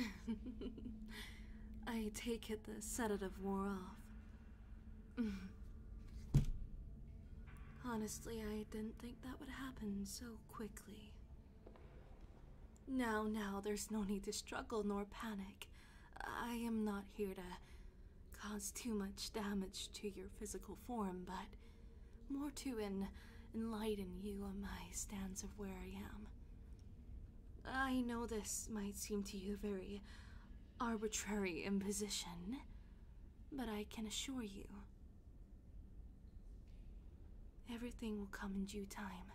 I take it the sedative wore off. Honestly, I didn't think that would happen so quickly. Now, now, there's no need to struggle nor panic. I am not here to cause too much damage to your physical form, but more to en enlighten you on my stance of where I am. I know this might seem to you a very arbitrary imposition, but I can assure you everything will come in due time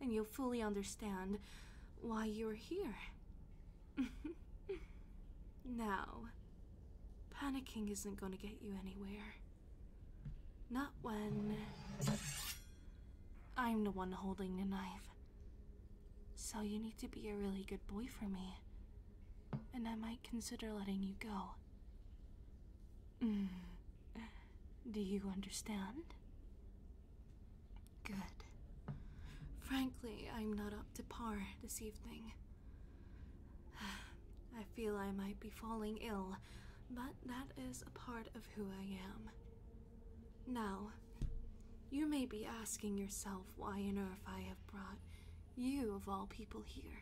and you'll fully understand why you're here. now, panicking isn't going to get you anywhere. Not when I'm the one holding the knife. So you need to be a really good boy for me. And I might consider letting you go. Mm. Do you understand? Good. Frankly, I'm not up to par this evening. I feel I might be falling ill, but that is a part of who I am. Now, you may be asking yourself why on earth I have brought you, of all people, here.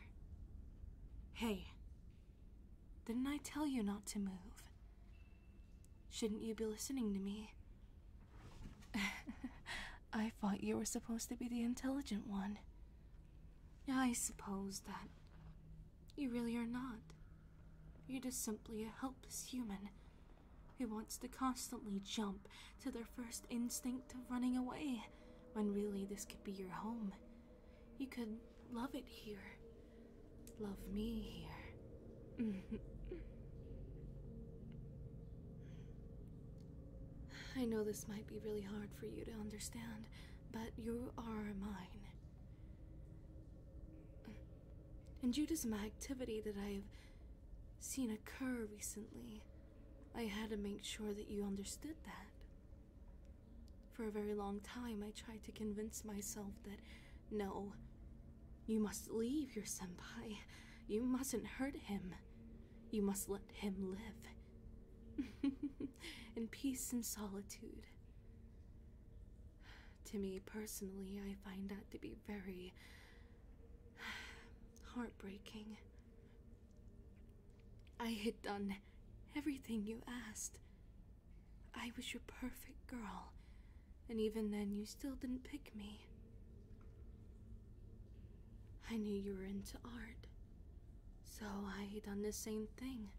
Hey, didn't I tell you not to move? Shouldn't you be listening to me? I thought you were supposed to be the intelligent one. I suppose that you really are not. You're just simply a helpless human who wants to constantly jump to their first instinct of running away when really this could be your home. You could love it here Love me here. I know this might be really hard for you to understand, but you are mine. And Judas' to activity that I have seen occur recently, I had to make sure that you understood that. For a very long time, I tried to convince myself that no, you must leave your senpai. You mustn't hurt him. You must let him live in peace and solitude. To me personally, I find that to be very heartbreaking. I had done everything you asked, I was your perfect girl, and even then you still didn't pick me. I knew you were into art, so I done the same thing,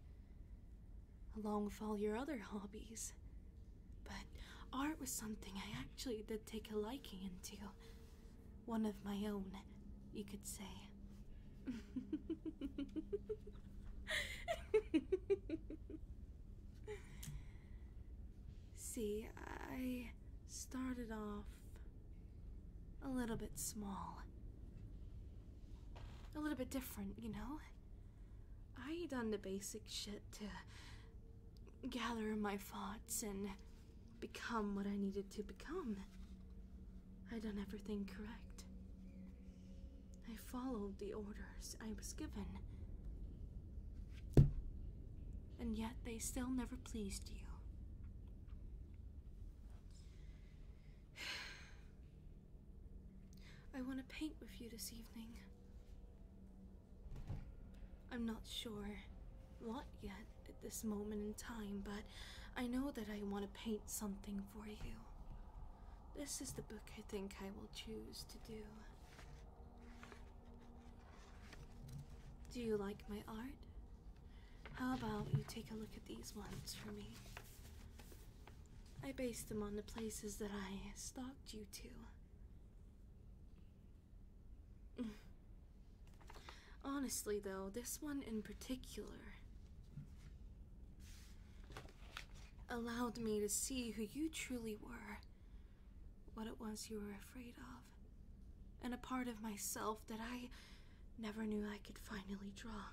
along with all your other hobbies. But art was something I actually did take a liking into. One of my own, you could say. See, I started off a little bit small. A little bit different, you know? I done the basic shit to gather my thoughts and become what I needed to become. I done everything correct. I followed the orders I was given. And yet they still never pleased you. I want to paint with you this evening. I'm not sure what yet at this moment in time, but I know that I want to paint something for you. This is the book I think I will choose to do. Do you like my art? How about you take a look at these ones for me? I based them on the places that I stalked you to. Honestly, though, this one in particular allowed me to see who you truly were what it was you were afraid of, and a part of myself that I never knew I could finally draw.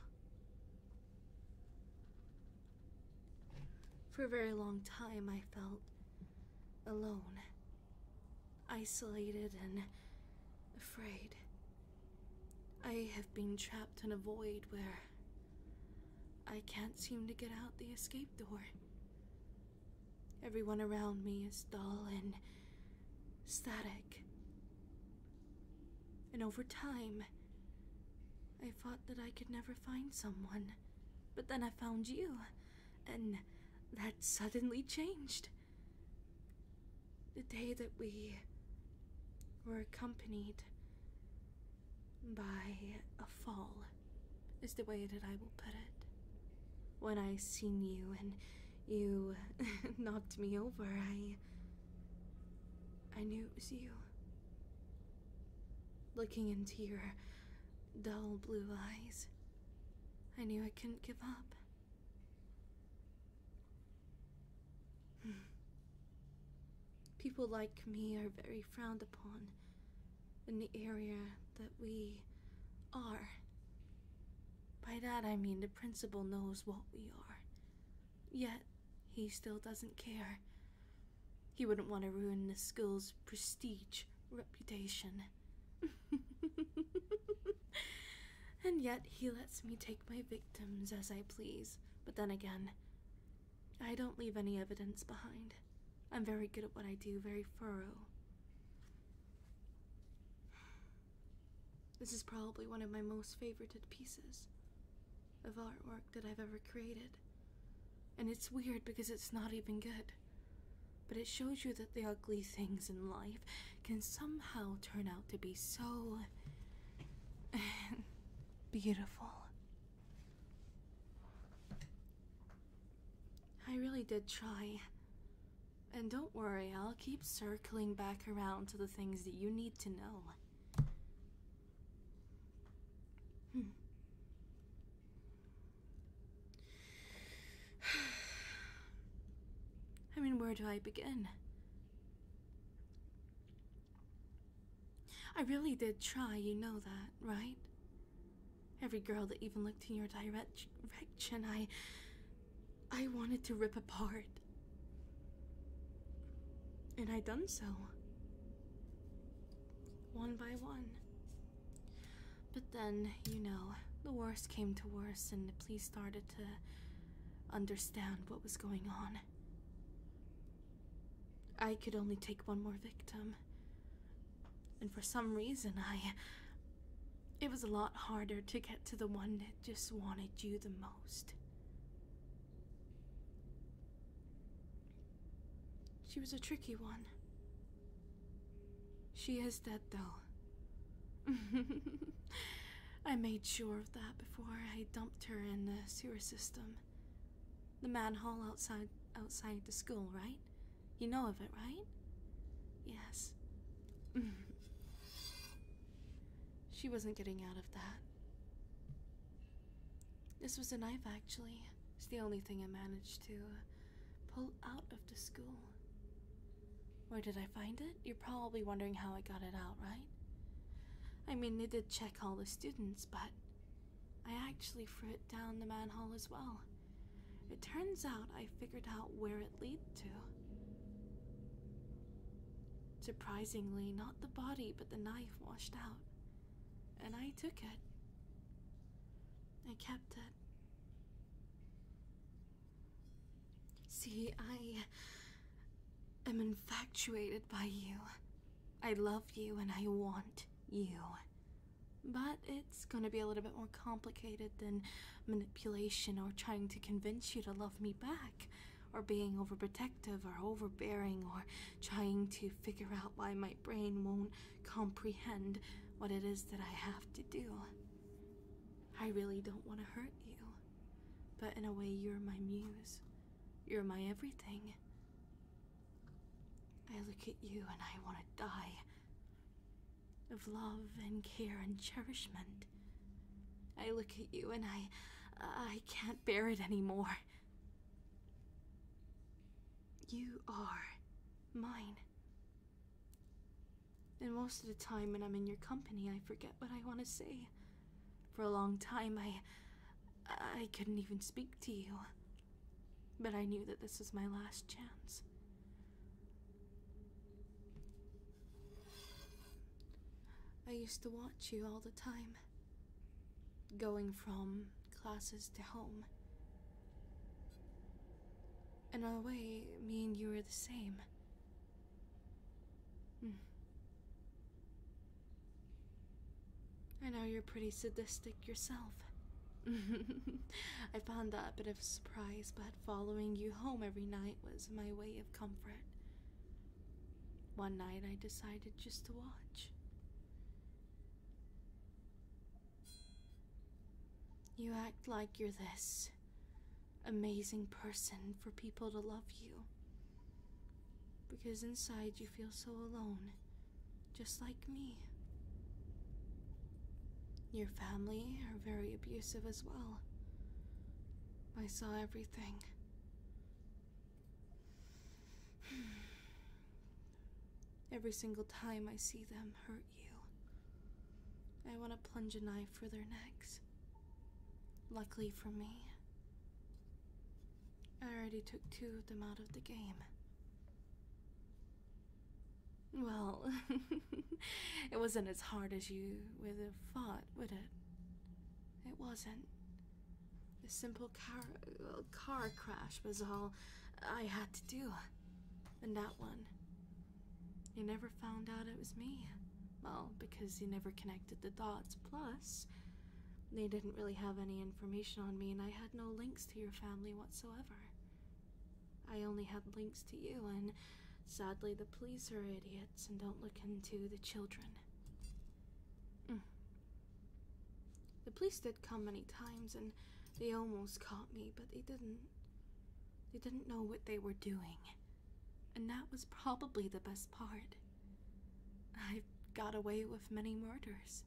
For a very long time, I felt alone, isolated, and afraid. I have been trapped in a void where I can't seem to get out the escape door. Everyone around me is dull and static. And over time, I thought that I could never find someone. But then I found you, and that suddenly changed. The day that we were accompanied by a fall, is the way that I will put it. When I seen you and you knocked me over, I. I knew it was you. Looking into your dull blue eyes, I knew I couldn't give up. Hmm. People like me are very frowned upon in the area that we are. By that I mean the principal knows what we are. Yet, he still doesn't care. He wouldn't want to ruin the school's prestige, reputation. and yet, he lets me take my victims as I please. But then again, I don't leave any evidence behind. I'm very good at what I do, very thorough. This is probably one of my most favorited pieces of artwork that I've ever created. And it's weird because it's not even good. But it shows you that the ugly things in life can somehow turn out to be so beautiful. I really did try. And don't worry, I'll keep circling back around to the things that you need to know. Hmm. I mean, where do I begin? I really did try, you know that, right? Every girl that even looked in your direction, I. I wanted to rip apart. And I done so. One by one. But then, you know, the worst came to worst, and the police started to understand what was going on. I could only take one more victim. And for some reason, I. It was a lot harder to get to the one that just wanted you the most. She was a tricky one. She is dead, though. I made sure of that before I dumped her in the sewer system. The man hall outside outside the school, right? You know of it, right? Yes. she wasn't getting out of that. This was a knife, actually. It's the only thing I managed to pull out of the school. Where did I find it? You're probably wondering how I got it out, right? I mean, they did check all the students, but I actually frit down the manhole as well. It turns out I figured out where it led to. Surprisingly, not the body but the knife washed out, and I took it. I kept it. See, I am infatuated by you. I love you and I want you. But it's gonna be a little bit more complicated than manipulation or trying to convince you to love me back, or being overprotective or overbearing, or trying to figure out why my brain won't comprehend what it is that I have to do. I really don't want to hurt you, but in a way, you're my muse. You're my everything. I look at you and I want to die. Of love and care and cherishment. I look at you and I. I can't bear it anymore. You are mine. And most of the time when I'm in your company, I forget what I want to say. For a long time, I. I couldn't even speak to you. But I knew that this was my last chance. I used to watch you all the time, going from classes to home. In a way, me and you were the same. Hmm. I know you're pretty sadistic yourself. I found that a bit of a surprise, but following you home every night was my way of comfort. One night I decided just to watch. You act like you're this amazing person for people to love you. Because inside you feel so alone just like me. Your family are very abusive as well. I saw everything. Every single time I see them hurt you, I want to plunge a knife through their necks. Luckily for me, I already took two of them out of the game. Well, it wasn't as hard as you would have thought, would it? It wasn't. A simple car, well, car crash was all I had to do. And that one. You never found out it was me. Well, because you never connected the dots. Plus, they didn't really have any information on me, and I had no links to your family whatsoever. I only had links to you, and sadly, the police are idiots and don't look into the children. Mm. The police did come many times, and they almost caught me, but they didn't. They didn't know what they were doing. And that was probably the best part. I've got away with many murders.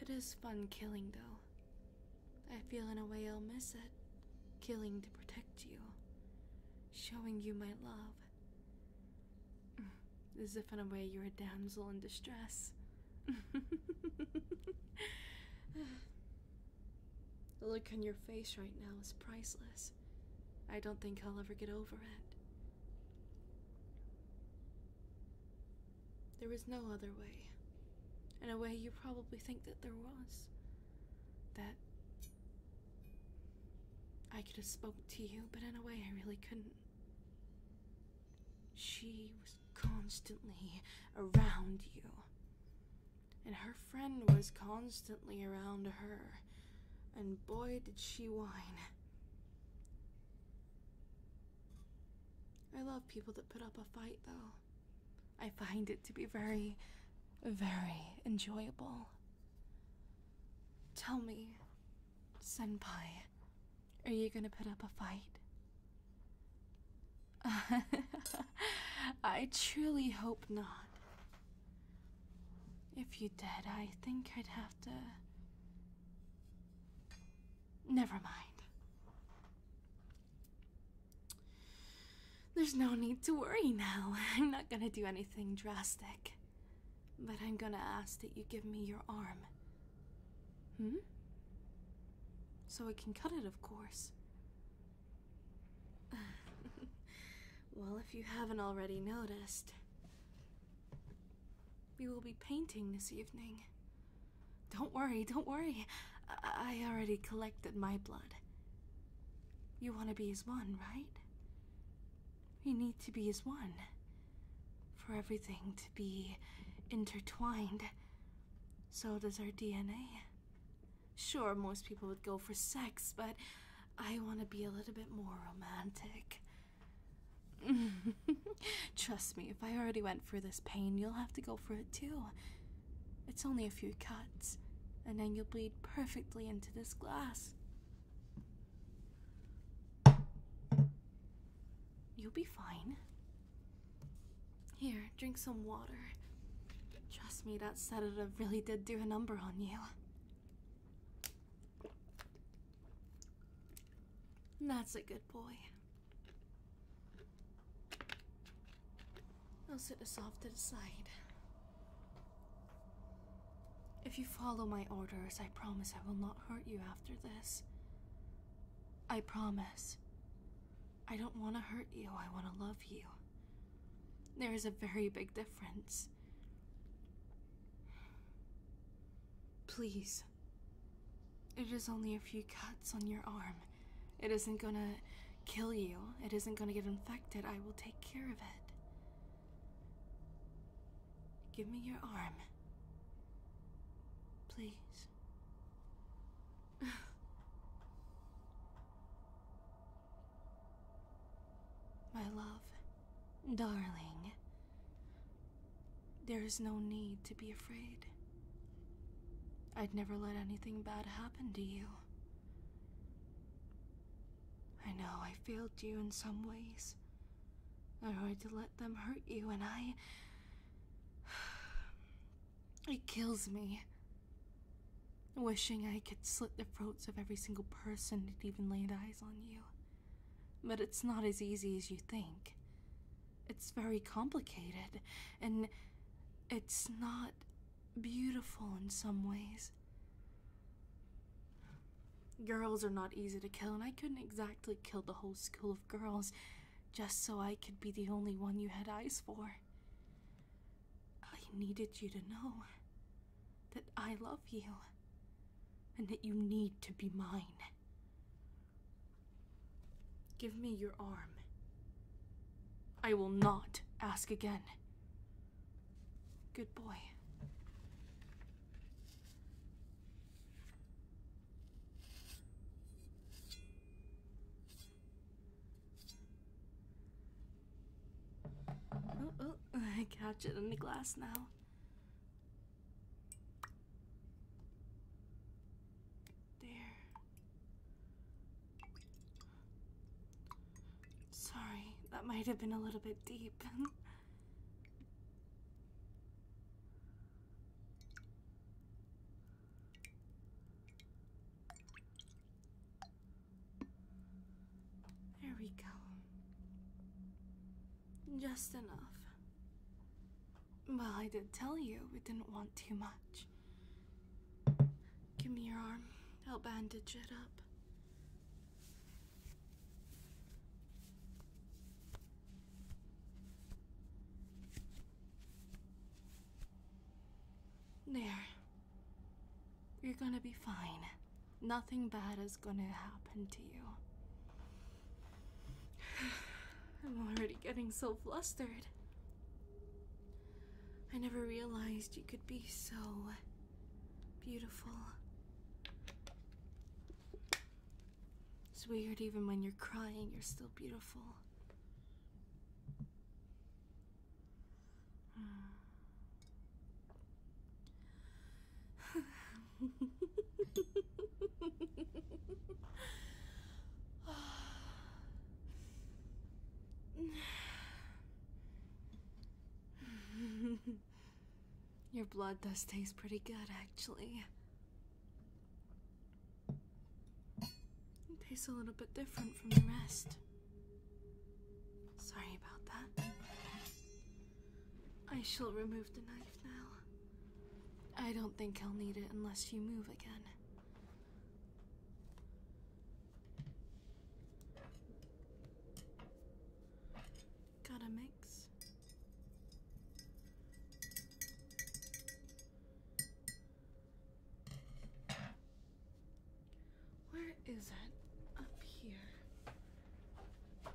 It is fun killing, though. I feel in a way I'll miss it. Killing to protect you, showing you my love. As if in a way you're a damsel in distress. The look on your face right now is priceless. I don't think I'll ever get over it. There was no other way. In a way you probably think that there was. That I could have spoke to you, but in a way I really couldn't. She was constantly around you and her friend was constantly around her, and boy did she whine. I love people that put up a fight, though. I find it to be very, very enjoyable. Tell me, Senpai, are you gonna put up a fight? I truly hope not. If you did, I think I'd have to. Never mind. There's no need to worry now. I'm not gonna do anything drastic. But I'm gonna ask that you give me your arm. Hmm? So I can cut it, of course. well, if you haven't already noticed, we will be painting this evening. Don't worry, don't worry. I, already collected my blood. You want to be as one, right? We need to be as one. For everything to be intertwined, so does our DNA. Sure, most people would go for sex, but I want to be a little bit more romantic. Trust me, if I already went through this pain, you'll have to go for it too. It's only a few cuts, and then you'll bleed perfectly into this glass. You'll be fine. Here, drink some water. Trust me, that sedative really did do a number on you. That's a good boy. I'll sit this off to the side. If you follow my orders, I promise I will not hurt you after this. I promise. I don't want to hurt you, I want to love you. There is a very big difference. Please. It is only a few cuts on your arm. It isn't gonna kill you, it isn't gonna get infected. I will take care of it. Give me your arm. Please. My love, darling, there is no need to be afraid. I'd never let anything bad happen to you. I know I failed you in some ways. I tried to let them hurt you, and I. It kills me Wishing I could slit the throats of every single person that even laid eyes on you. But it's not as easy as you think. It's very complicated, and it's not beautiful in some ways. Girls are not easy to kill, and I couldn't exactly kill the whole school of girls just so I could be the only one you had eyes for. I needed you to know that I love you and that you need to be mine. Give me your arm. I will not ask again. Good boy. Oh, oh, I catch it in the glass now. There. Sorry, that might have been a little bit deep. There we go. Just enough. Well, I did tell you we didn't want too much. Give me your arm. I'll bandage it up. There. You're gonna be fine. Nothing bad is gonna happen to you. I'm already getting so flustered. I never realized you could be so beautiful. It's weird, even when you're crying, you're still beautiful. Your blood does taste pretty good, actually. It tastes a little bit different from the rest. Sorry about that. I shall remove the knife now. I don't think I'll need it unless you move again. Gotta mix. Where is it? Up here.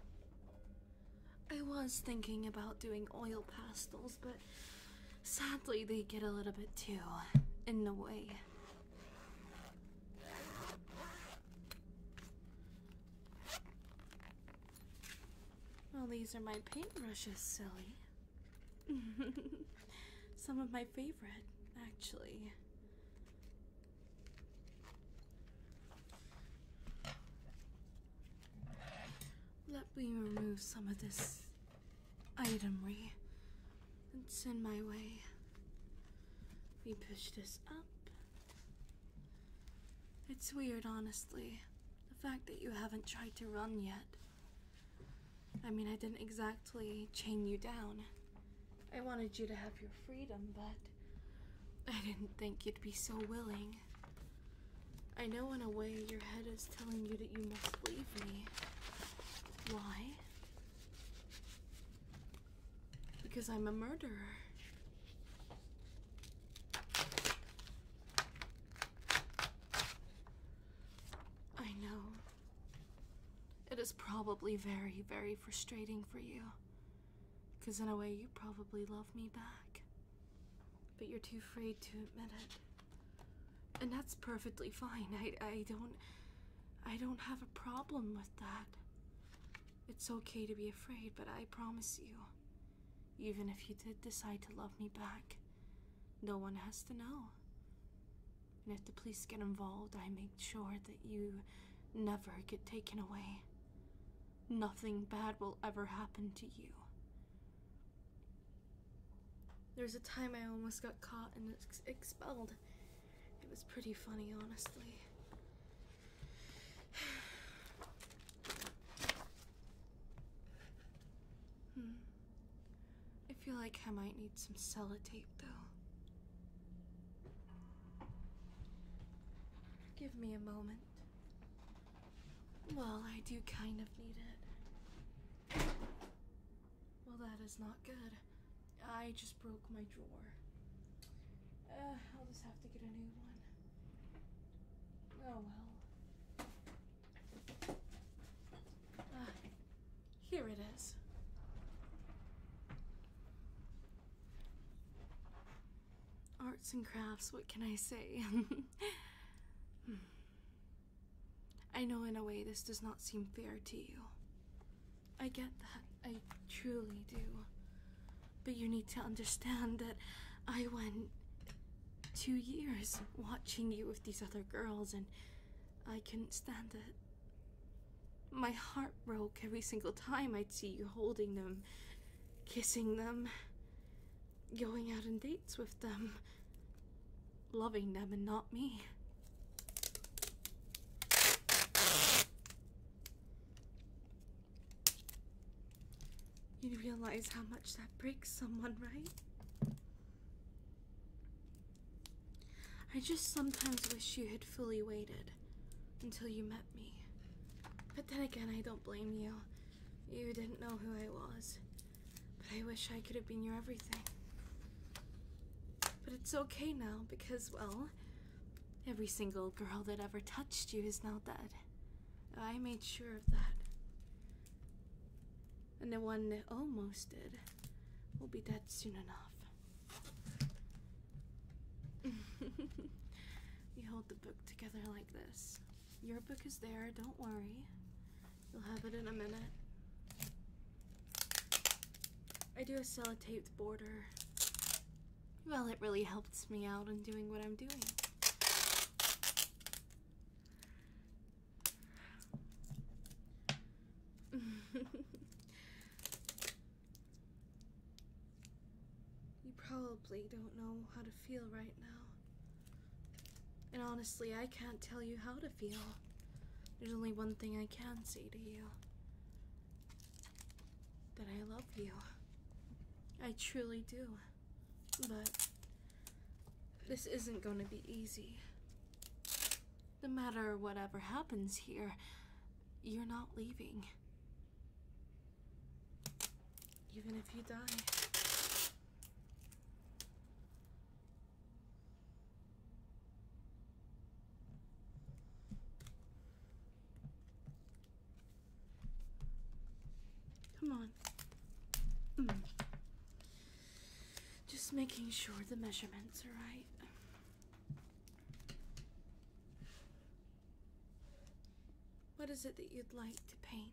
I was thinking about doing oil pastels, but sadly they get a little bit too in the way. Well, these are my paintbrushes, silly. Some of my favorite, actually. Let me remove some of this itemry that's in my way. We push this up. It's weird, honestly. The fact that you haven't tried to run yet. I mean, I didn't exactly chain you down. I wanted you to have your freedom, but I didn't think you'd be so willing. I know, in a way, your head is telling you that you must leave me. Why? Because I'm a murderer. I know. It is probably very, very frustrating for you. Because in a way, you probably love me back. But you're too afraid to admit it. And that's perfectly fine. I, I don't. I don't have a problem with that. It's okay to be afraid, but I promise you, even if you did decide to love me back, no one has to know. And if the police get involved, I make sure that you never get taken away. Nothing bad will ever happen to you. There was a time I almost got caught and expelled. It was pretty funny, honestly. hmm. I feel like I might need some sellotape, though. Give me a moment. Well, I do kind of need it. Well, that is not good. I just broke my drawer. Uh, I'll just have to get a new one. Oh well. Ah. Here it is. Arts and crafts, what can I say? I know in a way this does not seem fair to you. I get that, I truly do. But you need to understand that I went two years watching you with these other girls and I couldn't stand it. My heart broke every single time I'd see you holding them, kissing them, going out on dates with them, loving them and not me. You realize how much that breaks someone, right? I just sometimes wish you had fully waited until you met me. But then again, I don't blame you. You didn't know who I was. But I wish I could have been your everything. But it's okay now because, well, every single girl that ever touched you is now dead. I made sure of that. And the one that almost did will be dead soon enough. you hold the book together like this. Your book is there, don't worry. You'll have it in a minute. I do a sellotaped border. Well, it really helps me out in doing what I'm doing. You probably don't know how to feel right now. And honestly, I can't tell you how to feel. There's only one thing I can say to you that I love you. I truly do. But this isn't going to be easy. No matter whatever happens here, you're not leaving. Even if you die. Come on. Mm. Just making sure the measurements are right. What is it that you'd like to paint?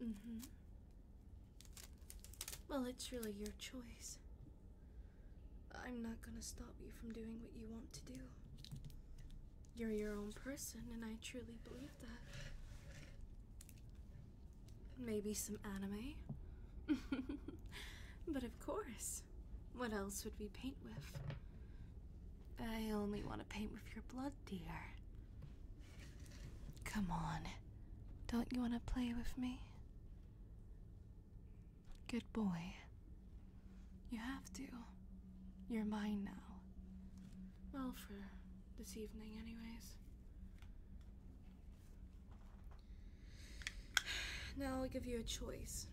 hmm Well, it's really your choice. I'm not gonna stop you from doing what you want to do you're your own person, and I truly believe that. Maybe some anime. but of course, what else would we paint with? I only want to paint with your blood, dear. Come on, don't you want to play with me? Good boy. You have to. You're mine now. Well, for this evening, anyways. Now I'll give you a choice.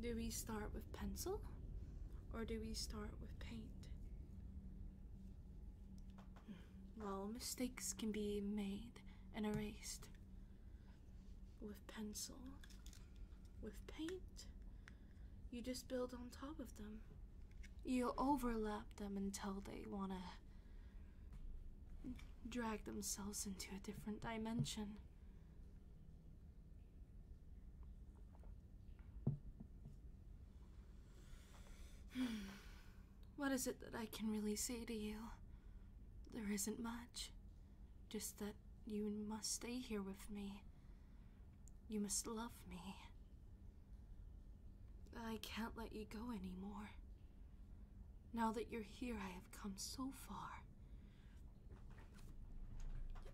Do we start with pencil or do we start with paint? Hmm. Well, mistakes can be made and erased with pencil, with paint, you just build on top of them. You overlap them until they want to drag themselves into a different dimension. What is it that I can really say to you? There isn't much. Just that you must stay here with me. You must love me. I can't let you go anymore. Now that you're here, I have come so far.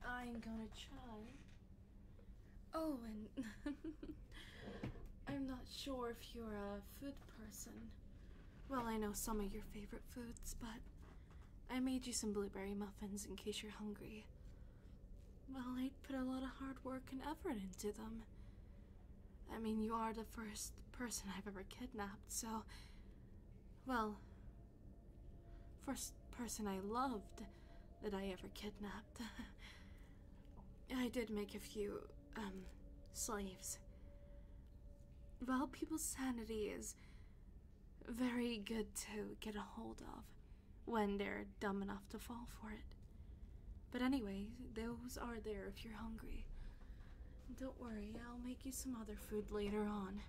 I'm gonna try. Oh, and I'm not sure if you're a food person. Well, I know some of your favorite foods, but I made you some blueberry muffins in case you're hungry. Well, I'd put a lot of hard work and effort into them. I mean, you are the first person I've ever kidnapped, so. Well, first person I loved that I ever kidnapped. I did make a few, um, slaves. Well, people's sanity is very good to get a hold of when they're dumb enough to fall for it. But anyway, those are there if you're hungry. Don't worry, I'll make you some other food later on.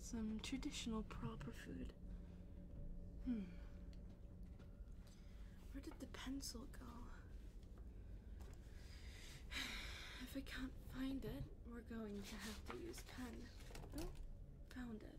Some traditional proper food. Hmm. Where did the pencil go? If I can't find it, we're going to have to use pen. Oh, found it.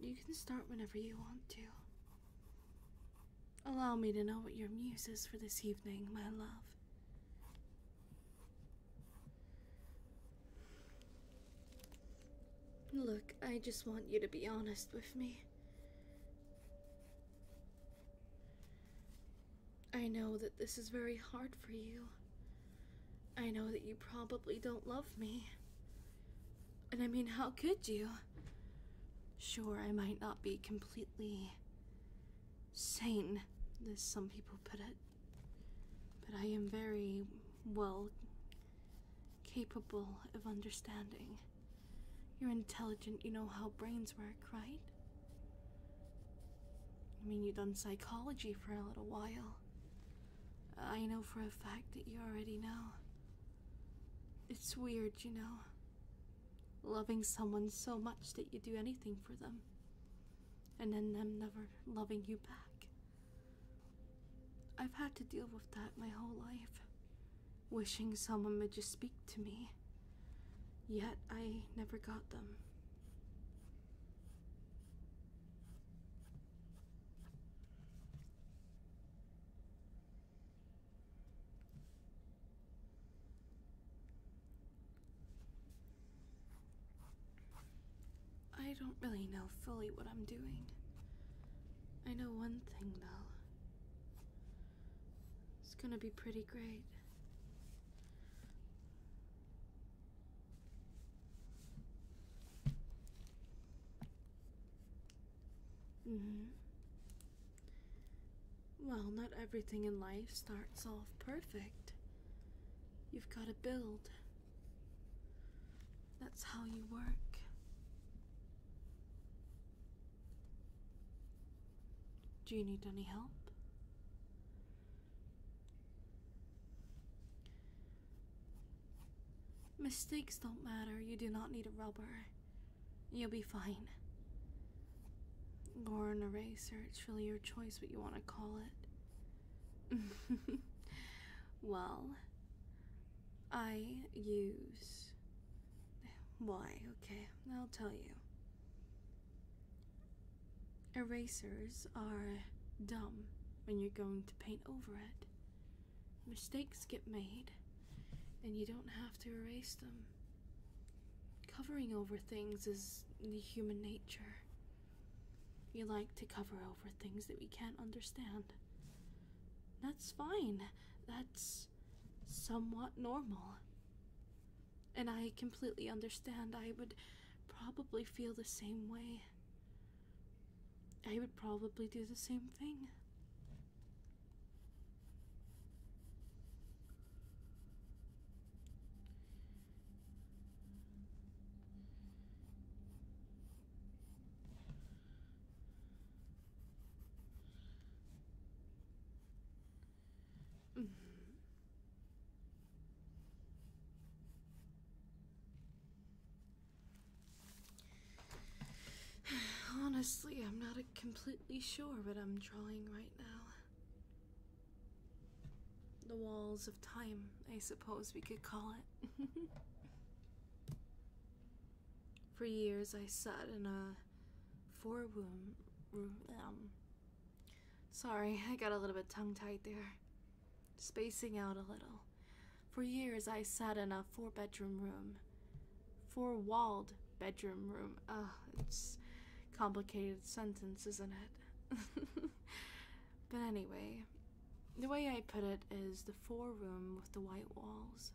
You can start whenever you want to. Allow me to know what your muse is for this evening, my love. Look, I just want you to be honest with me. I know that this is very hard for you. I know that you probably don't love me. And I mean, how could you? Sure, I might not be completely sane, as some people put it, but I am very well capable of understanding. You're intelligent, you know how brains work, right? I mean, you've done psychology for a little while. I know for a fact that you already know. It's weird, you know, loving someone so much that you do anything for them, and then them never loving you back. I've had to deal with that my whole life, wishing someone would just speak to me, yet I never got them. I don't really know fully what I'm doing. I know one thing though. It's gonna be pretty great hmm. Well, not everything in life starts off perfect. You've got to build. That's how you work. Do you need any help? Mistakes don't matter. You do not need a rubber. You'll be fine. Or an eraser. It's really your choice what you want to call it. well, I use. Why? Okay, I'll tell you. Erasers are dumb when you're going to paint over it. Mistakes get made, and you don't have to erase them. Covering over things is the human nature. We like to cover over things that we can't understand. That's fine. That's somewhat normal. And I completely understand. I would probably feel the same way. I would probably do the same thing. Mm. Honestly, I'm not completely sure what I'm drawing right now. The walls of time, I suppose we could call it. For years, I sat in a four room room. Um, sorry, I got a little bit tongue tied there. Spacing out a little. For years, I sat in a four bedroom room, four walled bedroom room. Ugh, it's complicated sentence, isn't it? but anyway, the way I put it is the four room with the white walls.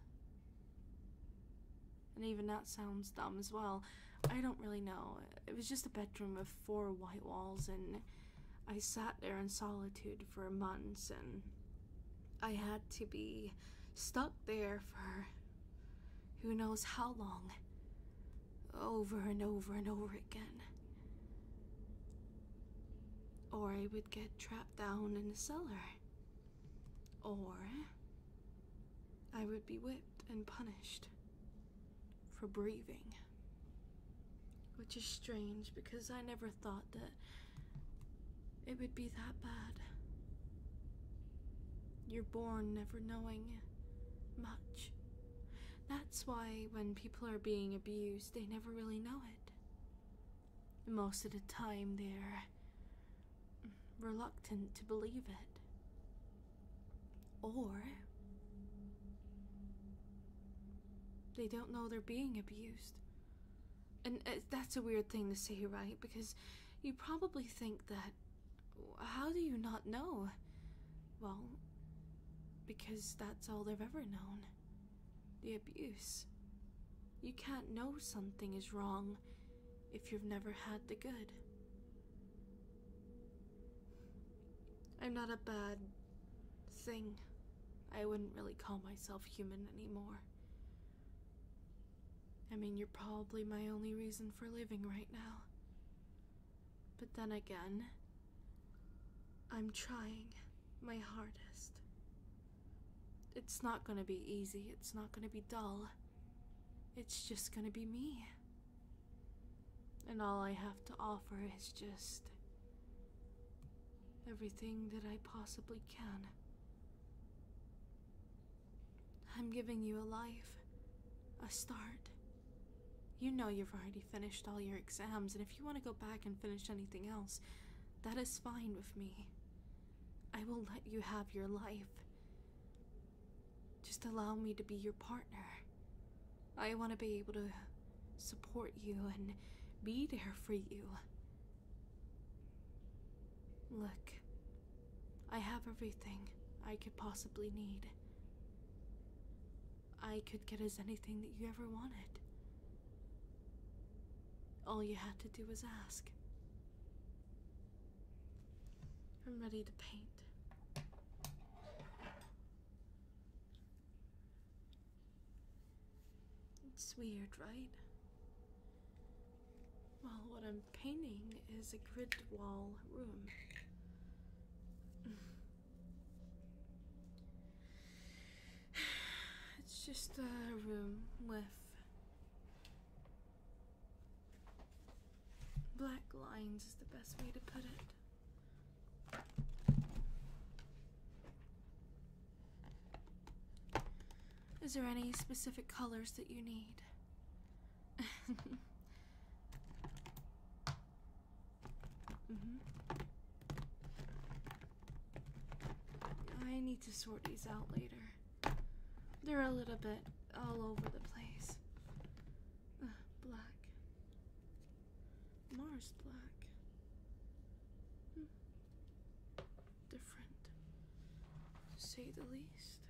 And even that sounds dumb as well. I don't really know. It was just a bedroom with four white walls, and I sat there in solitude for months and I had to be stuck there for who knows how long, over and over and over again. Or I would get trapped down in the cellar. Or I would be whipped and punished for breathing. Which is strange because I never thought that it would be that bad. You're born never knowing much. That's why when people are being abused, they never really know it. Most of the time, they're reluctant to believe it. Or they don't know they're being abused. And uh, that's a weird thing to say, right? Because you probably think that. How do you not know? Well, because that's all they've ever known the abuse. You can't know something is wrong if you've never had the good. I'm not a bad thing. I wouldn't really call myself human anymore. I mean, you're probably my only reason for living right now. But then again, I'm trying my hardest. It's not gonna be easy, it's not gonna be dull. It's just gonna be me. And all I have to offer is just everything that I possibly can. I'm giving you a life, a start. You know you've already finished all your exams, and if you want to go back and finish anything else, that is fine with me. I will let you have your life. Just allow me to be your partner. I want to be able to support you and be there for you Look, I have everything I could possibly need. I could get us anything that you ever wanted. All you had to do was ask. I'm ready to paint. It's weird, right? Well, what I'm painting is a grid wall room. it's just a room with black lines, is the best way to put it. Is there any specific colors that you need? -hmm. I need to sort these out later. They're a little bit all over the place. black. Mars black. Hmm different, to say the least.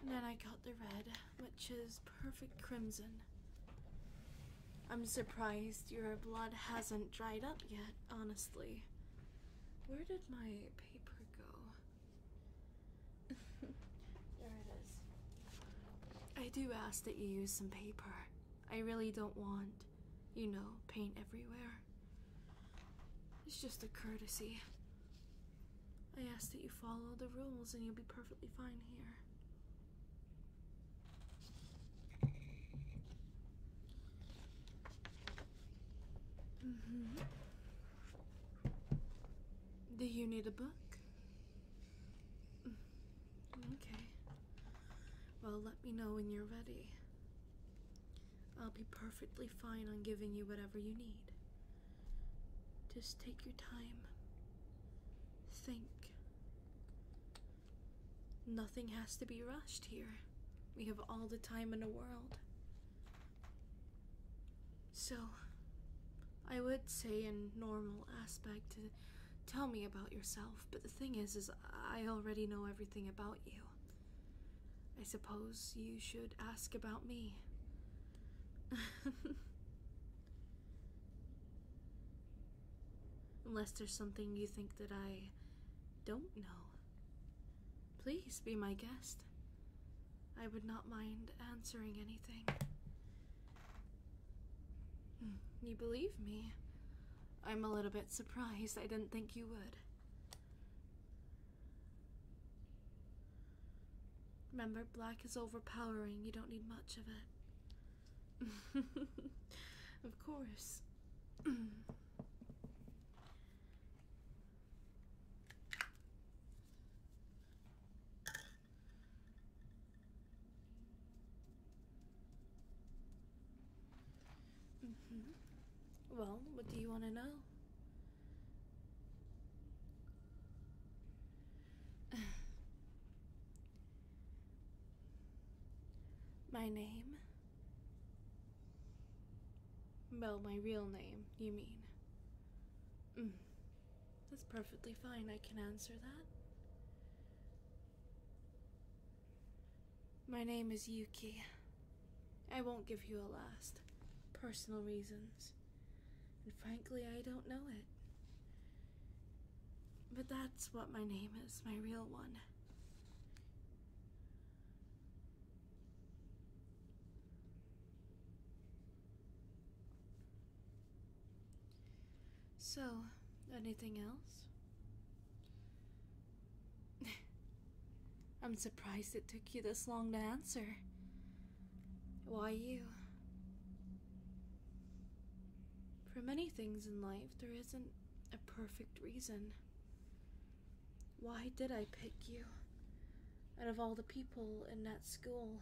And then I got the red, which is perfect crimson. I'm surprised your blood hasn't dried up yet, honestly. Where did my paper go? there it is. I do ask that you use some paper. I really don't want, you know, paint everywhere. It's just a courtesy. I ask that you follow the rules and you'll be perfectly fine here. Mm-hmm. Do you need a book? Mm-hmm. Okay. Well, let me know when you're ready. I'll be perfectly fine on giving you whatever you need. Just take your time. Think. Nothing has to be rushed here. We have all the time in the world. So, I would say in normal aspect to tell me about yourself, but the thing is is I already know everything about you. I suppose you should ask about me. Unless there's something you think that I don't know. Please be my guest. I would not mind answering anything. Hmm, you believe me? I'm a little bit surprised. I didn't think you would. Remember, black is overpowering. You don't need much of it. of course. Mm-hmm. Well, what do you want to know? my name? Well, my real name, you mean. Mm. That's perfectly fine, I can answer that. My name is Yuki. I won't give you a last. Personal reasons. And frankly, I don't know it. But that's what my name is, my real one. So, anything else? I'm surprised it took you this long to answer. Why you? For many things in life, there isn't a perfect reason. Why did I pick you? Out of all the people in that school,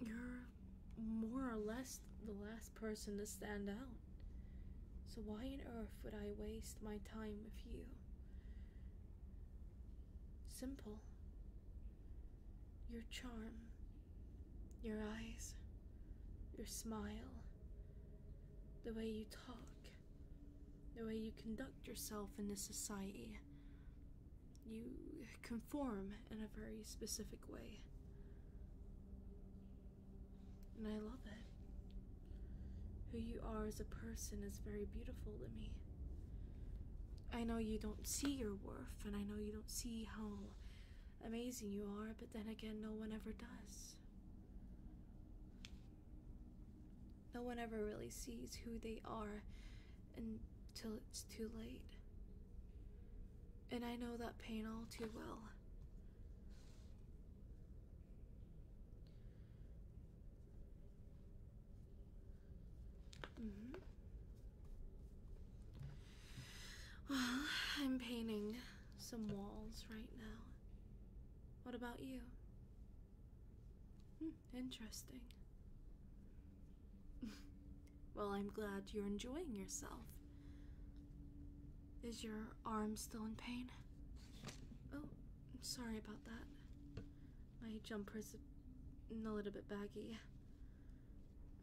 you're more or less the last person to stand out. So why on earth would I waste my time with you? Simple. Your charm, your eyes, your smile, the way you talk, the way you conduct yourself in this society. You conform in a very specific way and I love it. Who you are as a person is very beautiful to me. I know you don't see your worth, and I know you don't see how amazing you are, but then again, no one ever does. No one ever really sees who they are until it's too late. And I know that pain all too well. -hmm. Well, I'm painting some walls right now. What about you? Hmm, interesting. well, I'm glad you're enjoying yourself. Is your arm still in pain? Oh, I'm sorry about that. My jumper's a little bit baggy.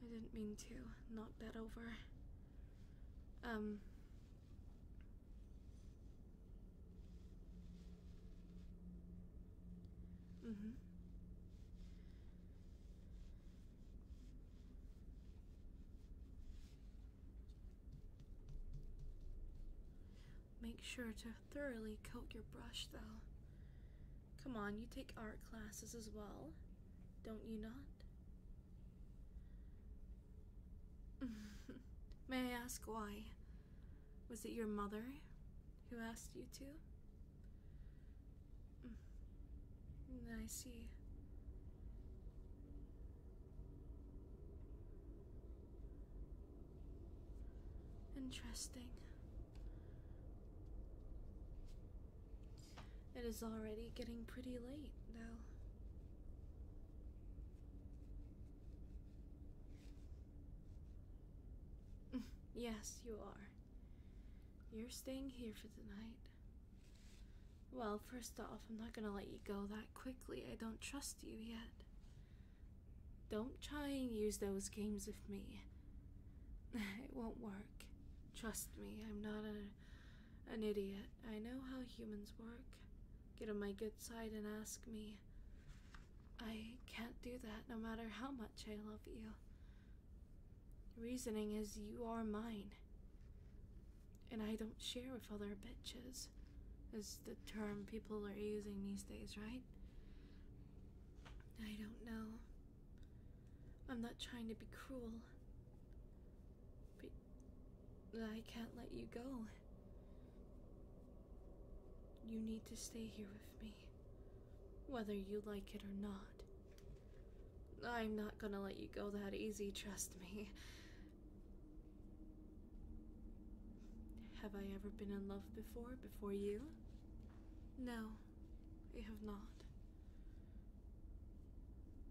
I didn't mean to knock that over. Um. Mm hmm. Make sure to thoroughly coat your brush though. Come on, you take art classes as well, don't you not? May I ask why? Was it your mother who asked you to? Mm. I see. Interesting. It is already getting pretty late now. yes, you are. You're staying here for the night. Well, first off, I'm not gonna let you go that quickly. I don't trust you yet. Don't try and use those games with me. It won't work. Trust me, I'm not a, an idiot. I know how humans work. Get on my good side and ask me. I can't do that no matter how much I love you. Reasoning is you are mine and I don't share with other bitches, is the term people are using these days, right? I don't know. I'm not trying to be cruel, but I can't let you go. You need to stay here with me, whether you like it or not. I'm not gonna let you go that easy, trust me. Have I ever been in love before, before you? No, I have not.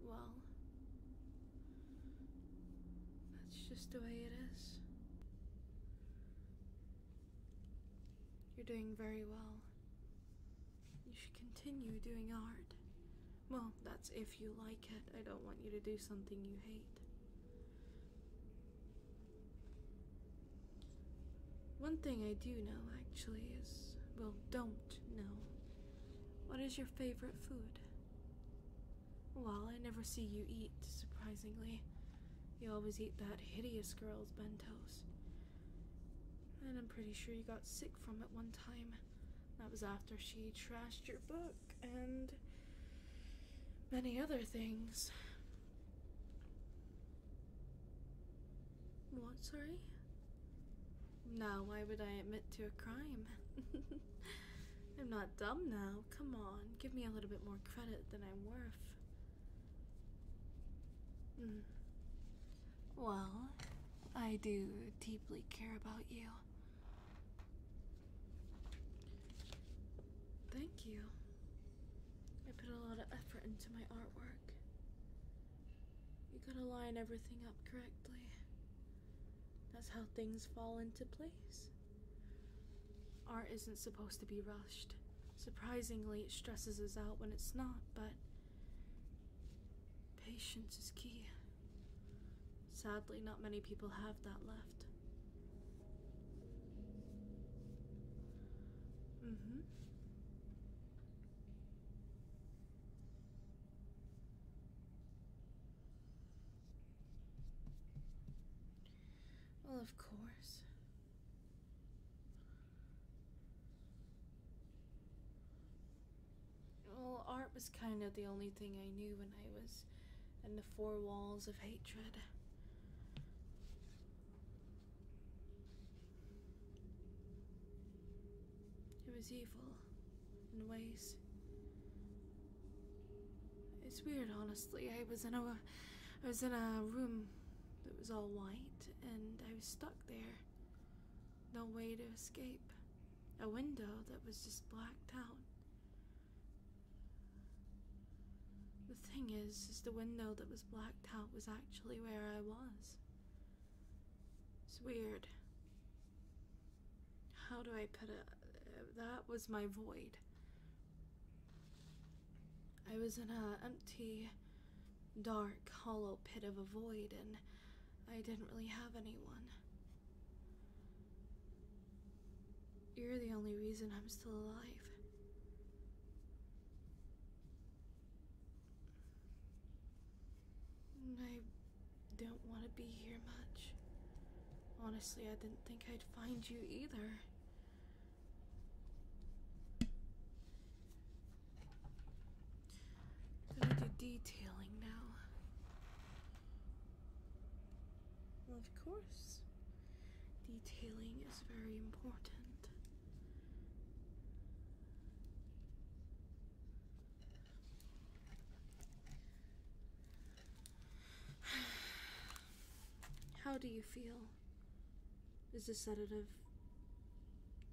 Well, that's just the way it is. You're doing very well. You should continue doing art. Well, that's if you like it. I don't want you to do something you hate. One thing I do know actually is well, don't know. What is your favorite food? Well, I never see you eat, surprisingly. You always eat that hideous girl's bentos. And I'm pretty sure you got sick from it one time. That was after she trashed your book and many other things. What, sorry? Now, why would I admit to a crime? I'm not dumb now. Come on, give me a little bit more credit than I'm worth. Mm. Well, I do deeply care about you. Thank you. I put a lot of effort into my artwork. You gotta line everything up correctly. That's how things fall into place. Art isn't supposed to be rushed. Surprisingly, it stresses us out when it's not, but patience is key. Sadly, not many people have that left. hmm. Well, of course. Well, art was kind of the only thing I knew when I was and the four walls of hatred. It was evil in ways. It's weird, honestly. I was in a, I was in a room that was all white, and I was stuck there. No way to escape. A window that was just blacked out. The thing is, is the window that was blacked out was actually where I was. It's weird. How do I put it? That was my void. I was in an empty, dark, hollow pit of a void, and I didn't really have anyone. You're the only reason I'm still alive. I don't want to be here much. Honestly, I didn't think I'd find you either. Gonna do detailing now. Well, of course, detailing is very important. How do you feel? Is the sedative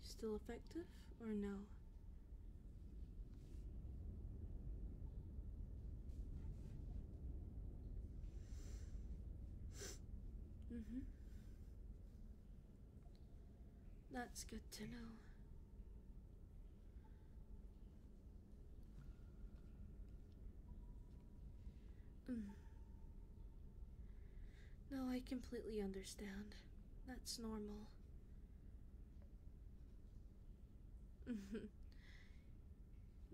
still effective or no? Mm-hmm. That's good to know. Mm. No, I completely understand. That's normal.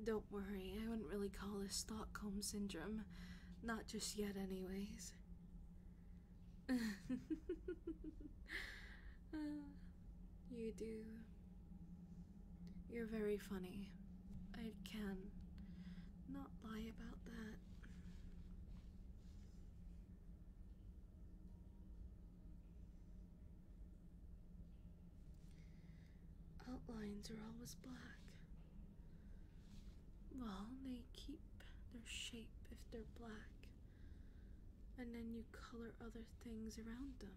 Don't worry, I wouldn't really call this Stockholm Syndrome. Not just yet, anyways. Uh, you do. You're very funny. I can not lie about that. Outlines are always black. Well, they keep their shape if they're black, and then you color other things around them.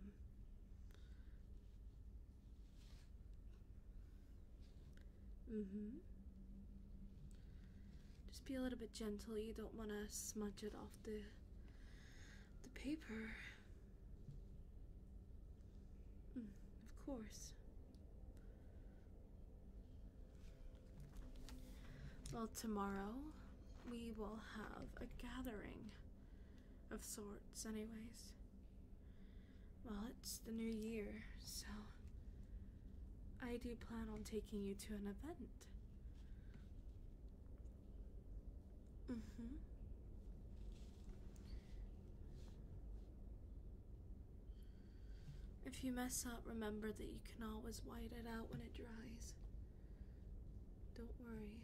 Mm hmm. Just be a little bit gentle. You don't want to smudge it off the the paper. Mm, of course. Well, tomorrow we will have a gathering of sorts, anyways. Well, it's the new year, so I do plan on taking you to an event. Mm-hmm. If you mess up, remember that you can always wipe it out when it dries. Don't worry.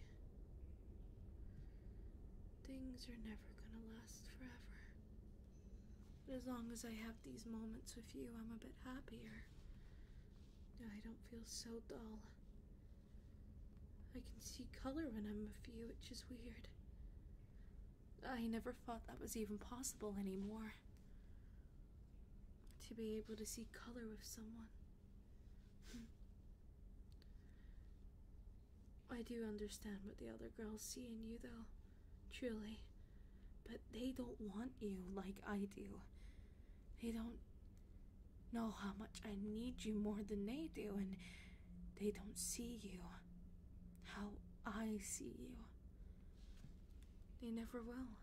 Things are never gonna last forever. But as long as I have these moments with you, I'm a bit happier. I don't feel so dull I can see color when I'm with you, which is weird. I never thought that was even possible anymore. To be able to see color with someone. Hmm. I do understand what the other girls see in you, though, truly. But they don't want you like I do. They don't know how much I need you more than they do, and they don't see you how I see you. They never will.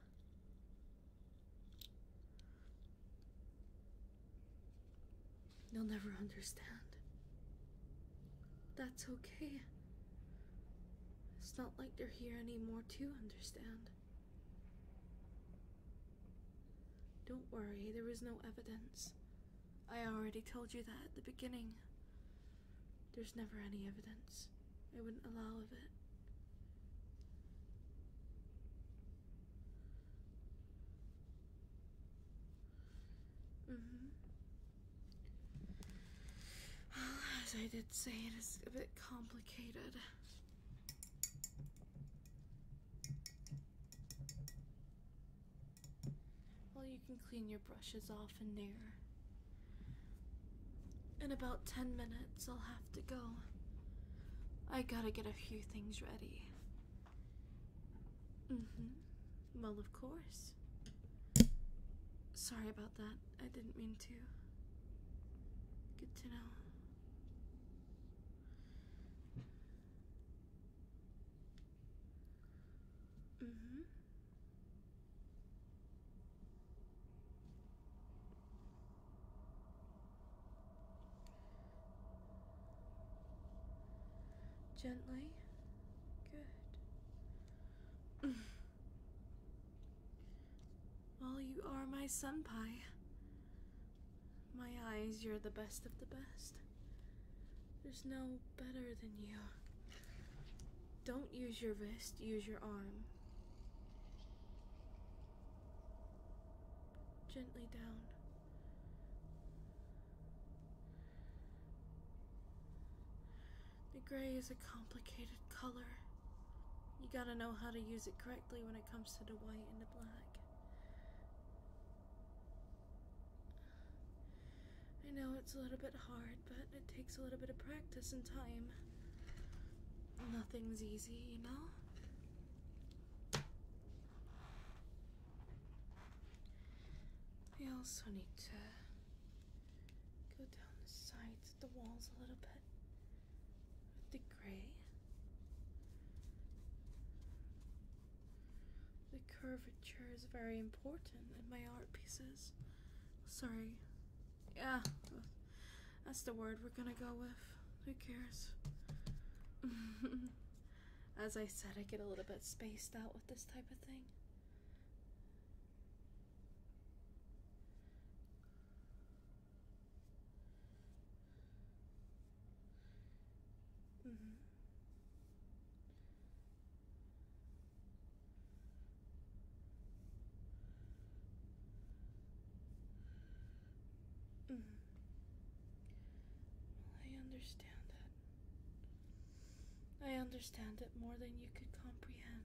They'll never understand. That's okay. It's not like they're here anymore to understand. Don't worry, there is no evidence. I already told you that at the beginning. There's never any evidence. I wouldn't allow of it. hmm as I did say, it is a bit complicated. Well, you can clean your brushes off in there. In about 10 minutes, I'll have to go. I gotta get a few things ready. Mm hmm. Well, of course. Sorry about that. I didn't mean to. Good to know mmhmm Gently. Good. well, you are my sun pie. My eyes, you're the best of the best. There's no better than you. Don't use your wrist, use your arm. Gently down. The gray is a complicated color. You gotta know how to use it correctly when it comes to the white and the black. I know it's a little bit hard, but it takes a little bit of practice and time. Nothing's easy, you know? I also need to go down the sides of the walls a little bit with the gray. The curvature is very important in my art pieces. Sorry. Yeah, that's the word we're gonna go with. Who cares? As I said, I get a little bit spaced out with this type of thing. Mm-hmm. hmm I understand it. I understand it more than you could comprehend.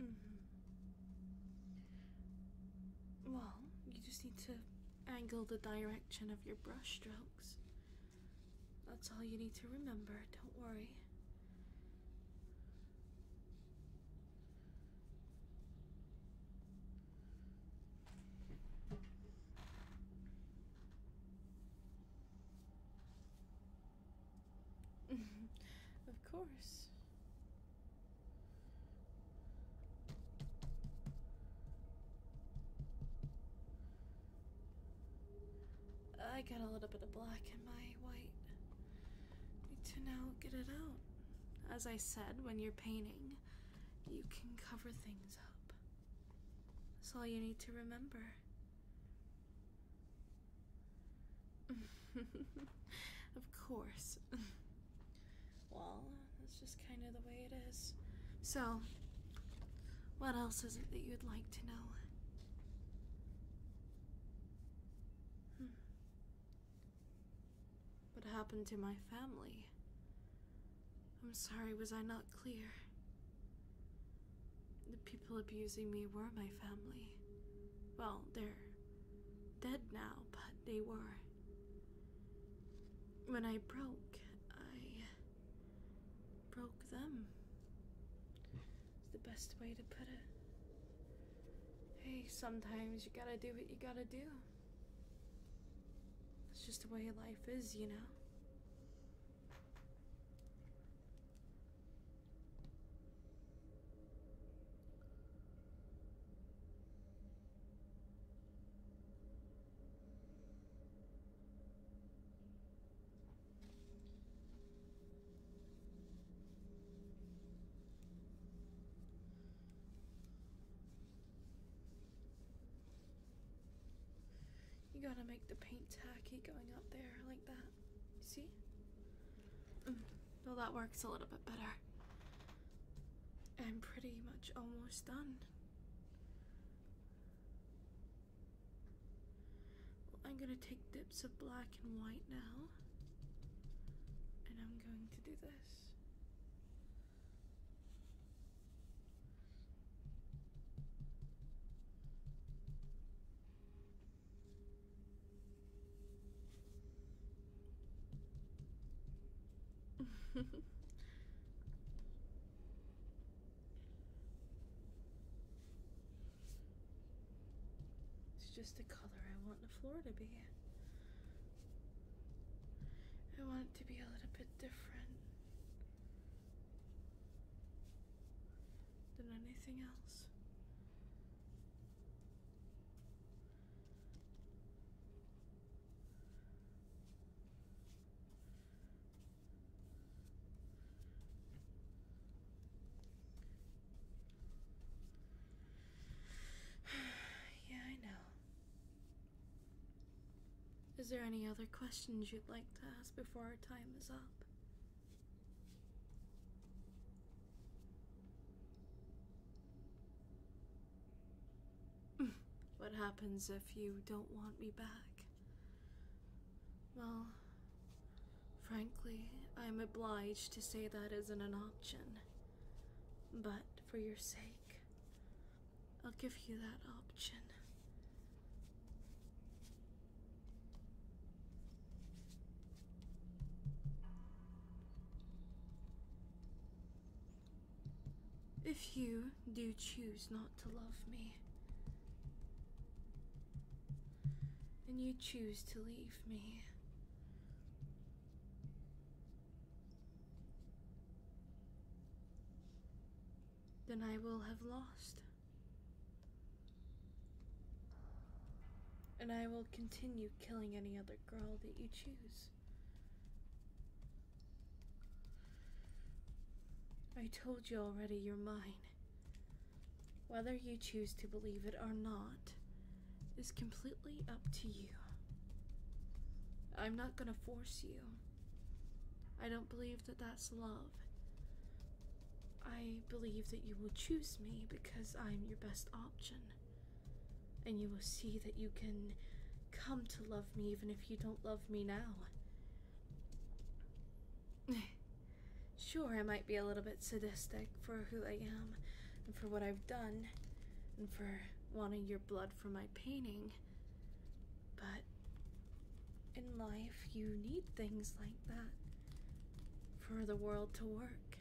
Mm-hmm. Well, you just need to angle the direction of your brush strokes. That's all you need to remember, don't worry. Of course. I got a little bit of black in my white. Need to now get it out. As I said, when you're painting, you can cover things up. That's all you need to remember. of course. well, that's just kind of the way it is. So, what else is it that you'd like to know? Hmm. What happened to my family? I'm sorry, was I not clear? The people abusing me were my family. Well, they're dead now, but they were. When I broke, I broke them. It's the best way to put it. Hey, sometimes you gotta do what you gotta do. It's just the way life is, you know? You gotta make the paint tacky going up there like that. see? Mm, well, that works a little bit better. I'm pretty much almost done. I'm going to take dips of black and white now. And I'm going to do this. it's just the color I want the floor to be. I want it to be a little bit different than anything else. yeah, I know. Is there any other questions you'd like to ask before our time is up? what happens if you don't want me back? Well, frankly, I'm obliged to say that isn't an option. But for your sake, I'll give you that option. If you do choose not to love me, and you choose to leave me, then I will have lost. And I will continue killing any other girl that you choose. I told you already you're mine. Whether you choose to believe it or not is completely up to you. I'm not gonna force you. I don't believe that that's love. I believe that you will choose me because I'm your best option and you will see that you can come to love me even if you don't love me now. sure, I might be a little bit sadistic for who I am and for what I've done and for wanting your blood for my painting, but in life you need things like that for the world to work.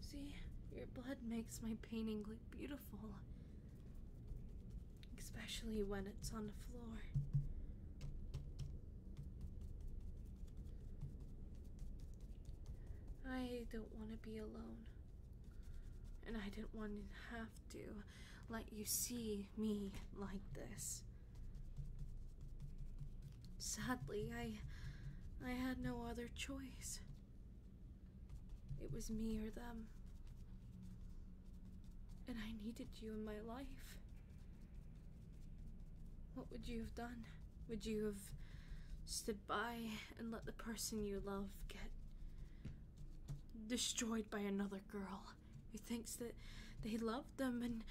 See, your blood makes my painting look beautiful. Especially when it's on the floor. I don't want to be alone. And I didn't want to have to let you see me like this. Sadly, I I had no other choice. It was me or them. And I needed you in my life. What would you have done? Would you have stood by and let the person you love get destroyed by another girl who thinks that they love them and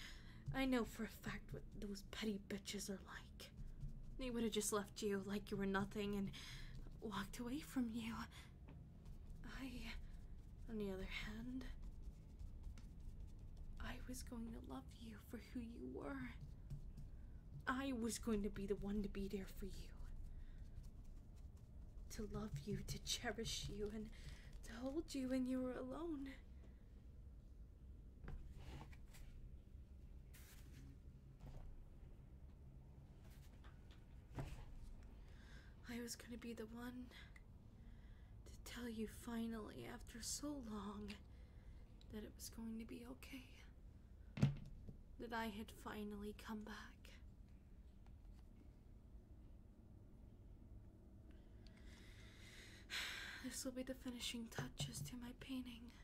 I know for a fact what those petty bitches are like. They would have just left you like you were nothing and walked away from you. I, on the other hand, I was going to love you for who you were. I was going to be the one to be there for you. To love you, to cherish you, and to hold you when you were alone. I was gonna be the one to tell you finally after so long that it was going to be okay. That I had finally come back. This will be the finishing touches to my painting.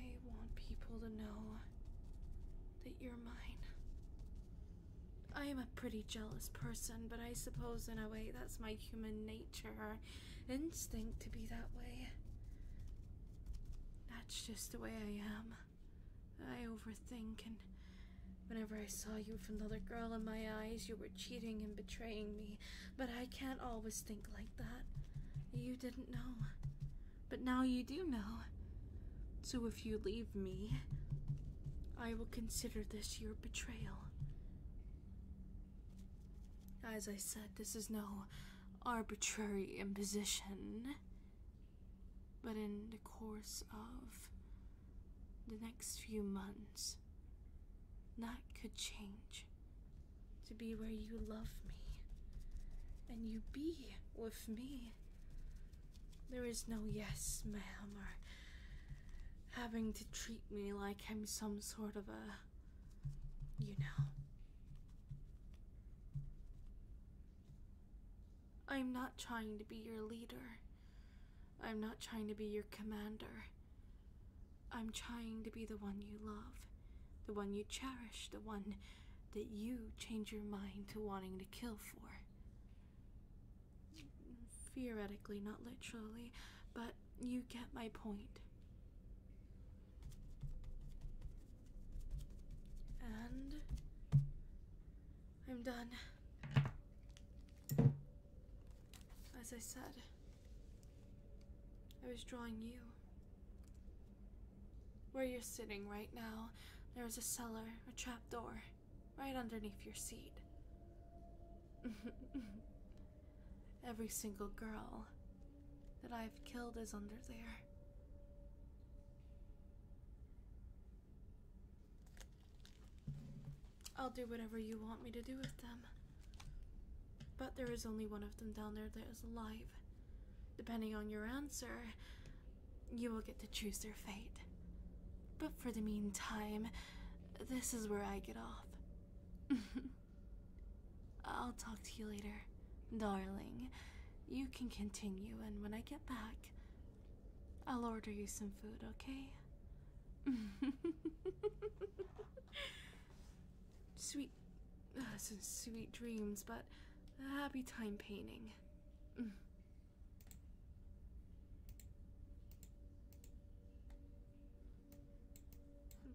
I want people to know that you're mine. I am a pretty jealous person, but I suppose in a way that's my human nature instinct to be that way. That's just the way I am. I overthink, and whenever I saw you with another girl in my eyes, you were cheating and betraying me but I can't always think like that. You didn't know. But now you do know. So if you leave me, I will consider this your betrayal. As I said, this is no arbitrary imposition. But in the course of the next few months, that could change to be where you love me and you be with me. There is no yes, ma'am, or having to treat me like I'm some sort of a. you know. I'm not trying to be your leader. I'm not trying to be your commander. I'm trying to be the one you love, the one you cherish, the one that you change your mind to wanting to kill for. Theoretically, not literally, but you get my point. And I'm done. As I said, I was drawing you. Where you're sitting right now, there is a cellar, a trapdoor, right underneath your seat. Every single girl that I've killed is under there. I'll do whatever you want me to do with them. But there is only one of them down there that is alive. Depending on your answer, you will get to choose their fate. But for the meantime, this is where I get off. I'll talk to you later, darling. You can continue, and when I get back, I'll order you some food, okay? sweet, uh, some sweet dreams, but a happy time painting. Mm. I'm sure.